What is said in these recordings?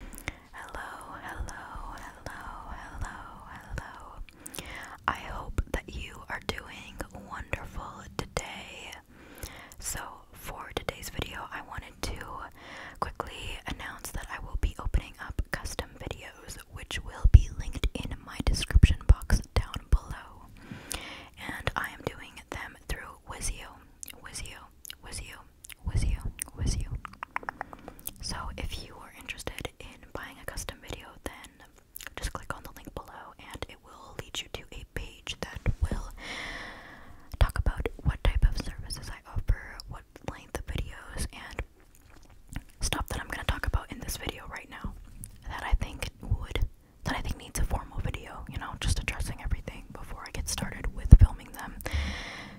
Hello, hello, hello, hello, hello. I hope that you are doing wonderful today. So, for today's video, I wanted to quickly announce that I will be opening up custom videos, which will be linked in my description box down below. And I am doing them through Wizio. Wizio. Wizio with you, with you. So if you are interested in buying a custom video, then just click on the link below and it will lead you to a page that will talk about what type of services I offer, what length of videos, and stuff that I'm going to talk about in this video right now that I think would that I think needs a formal video, you know, just addressing everything filming before I get started with filming them.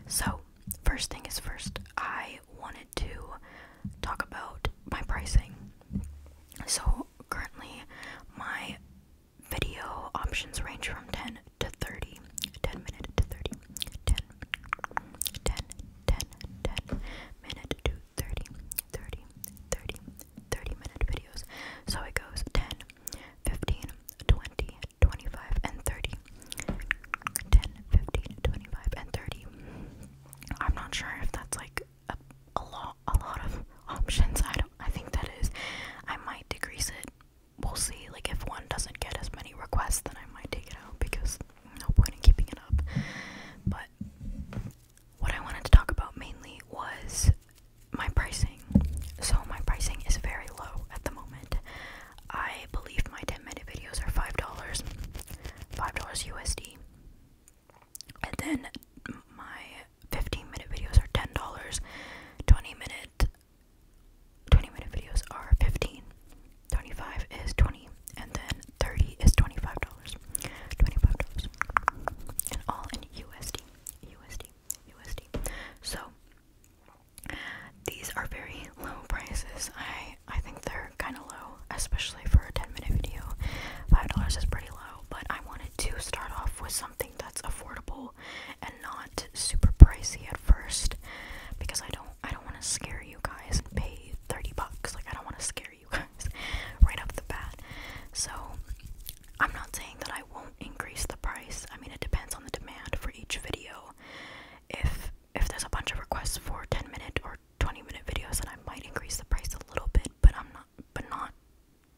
So, first thing is first, I wanted to talk about my pricing. So, currently, my video options range from 10 to 30, 10 minute to 30, 10, 10, 10, 10 minute to 30, 30, 30, 30 minute videos. So it goes 10, 15, 20, 25, and 30. and 30. I'm not sure if that's like a, a lot a lot of options. I don't I think that is. I might decrease it. We'll see. Like if one doesn't get as many requests then I might take it out because no point in keeping it up. But what I wanted to talk about mainly was my pricing. So my pricing is very low at the moment. I believe my 10 minute videos are $5. $5 USD. And then my 15 minute videos are $10. 20 minute 20 minute videos are 15. 25 is 20 and then 30 is $25. $25. And all in USD. USD. USD. So these are very low prices. I I think they're kind of low, especially for a 10 minute video. $5 is pretty low, but I wanted to start off with something that's affordable and not super pricey at first because I don't I don't want to scare you guys and pay 30 bucks. Like I don't want to scare you guys right off the bat. So, I'm not saying that won't increase the price. I mean, it depends on the demand for each video. If if there's a bunch of requests for 10 minute or 20 minute videos, then I might increase the price a little bit, but I'm not but not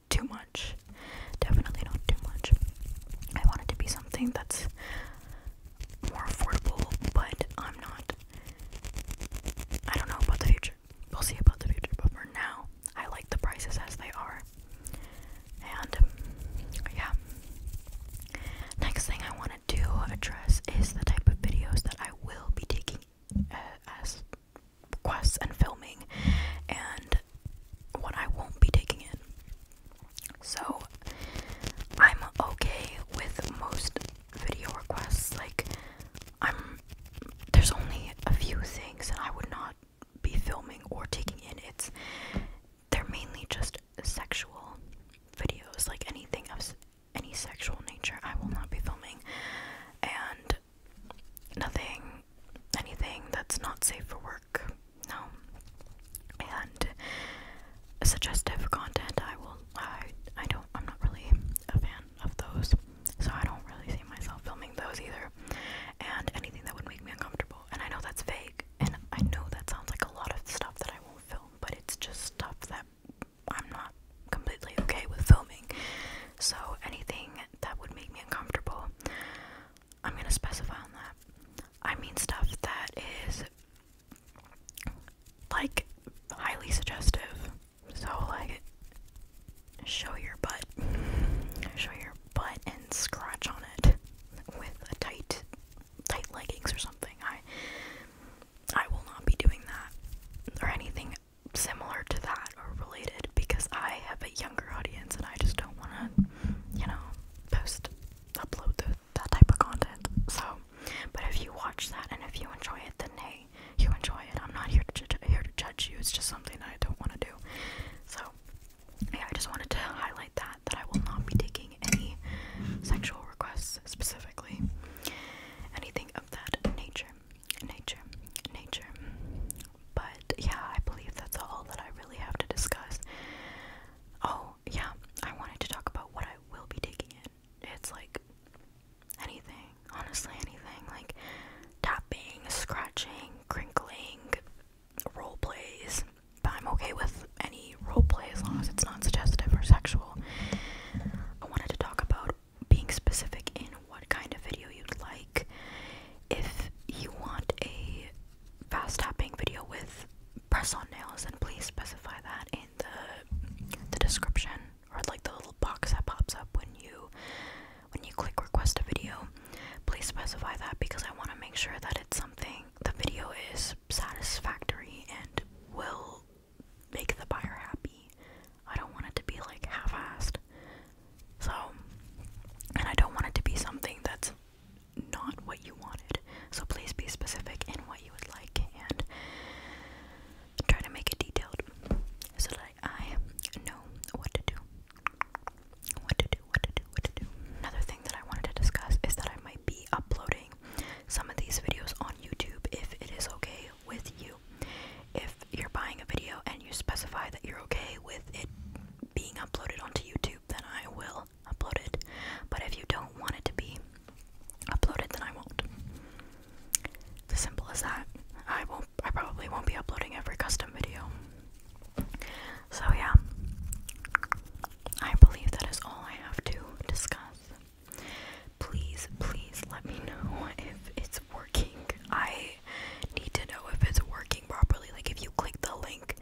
too much. Definitely not too much. I want it to be something that's more affordable, but I'm not I don't know about the future. We'll see about the future, but for now, I like the prices as they are. And yeah. Next thing I want to do address is the type of videos that I will be taking uh, as requests and filming, and what I won't be taking it. So I'm okay with most video requests. Like I'm, there's only a few things, that I would not be filming or taking in. It's they're mainly just sexual videos, like anything of any sexual nature. I will not be filming, and nothing, anything that's not safe for work. No, and suggestive content. I will. I I don't. I'm not really a fan of those so I don't really see myself filming those either. And anything that would make me uncomfortable. And I know that's vague, and I know that sounds like a lot of stuff that I won't film, but it's just stuff that I'm not completely okay with filming. So anything that would make me uncomfortable, I'm gonna specify on that. I mean stuff that is like highly suggestive. So like show your butt, show your butt and scratch on it with a tight, tight leggings or something. I, I will not be doing that or anything similar to that or related because I have a younger audience and I just don't want to, you know, post, upload the, that type of content. So, but if you watch that and if you enjoy it, then hey, you enjoy it. I'm not here to here to judge you. It's just something that I don't want to do. So yeah, I just wanted to highlight that that I will not be taking any sexual requests specifically, anything of that nature, nature, nature. But yeah, I believe that's all that I really have to discuss. Oh yeah, I wanted to talk about what I will be taking in. It's like anything honestly anything like tapping, scratching, crinkling, role plays. But I'm okay with any role play as long as it's not suggestive or sexual. I wanted to talk about being specific in what kind of video you'd like. If you want a fast tapping video with press on nails, then please specify that in the the description or like the little box that pops up when you when you click request a video please specify that because i want to make sure that it's something the video is satisfactory and will make the buyer happy i don't want it to be like half-assed so and i don't want it to be something that's not what you wanted so please be specific in what you would like and try to make it detailed so that I know what to do. What to do, what to do, what to do. Another thing that I wanted to discuss is that I might be uploading some of these videos on YouTube if it is okay with you. If you're buying a video and you specify that you're okay with it being uploaded onto YouTube, then I will upload it. But if you don't want it to be uploaded, then I won't. as simple as that. I won't I probably won't be uploading every custom video. So, yeah, I believe that is all I have to discuss. Please, please let me know if it's working. I need to know if it's working properly. Like, if you click the link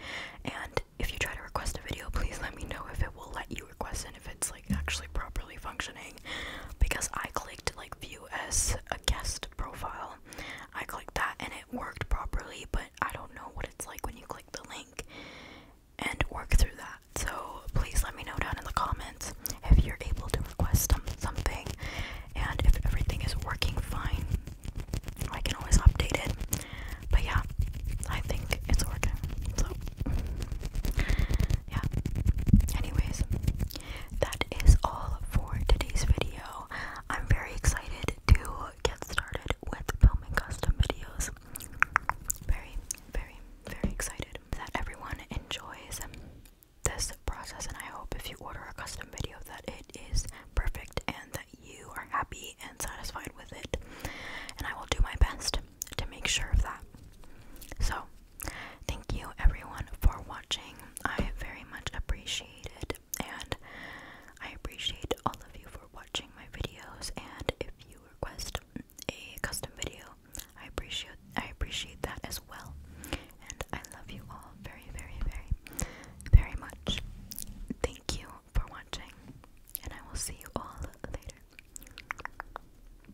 and if you try to request a video, please let me know if it will let you request and if it's like actually properly functioning because I clicked like view as a guest profile. I clicked that and it worked properly, but I don't know what it's like when you click the link and work through that. So please let me know down in the comments if you're able to request something and if everything is working fine. I can always update it. But yeah, I think it's working. So yeah. Anyways, that is all for today's video. I'm very excited to get started with filming custom videos. Very, very, very excited that everyone enjoys this process, and I hope if you order a custom video that it is perfect and that you are happy and satisfied with it. And I will do my best to make sure of that. So, thank you everyone for watching. I very much appreciate it, and I appreciate all of you for watching my videos. And if you request a custom video, I appreciate I appreciate that as well. And I love you all very, very, very, very much. Thank you for watching, and I will see you all later.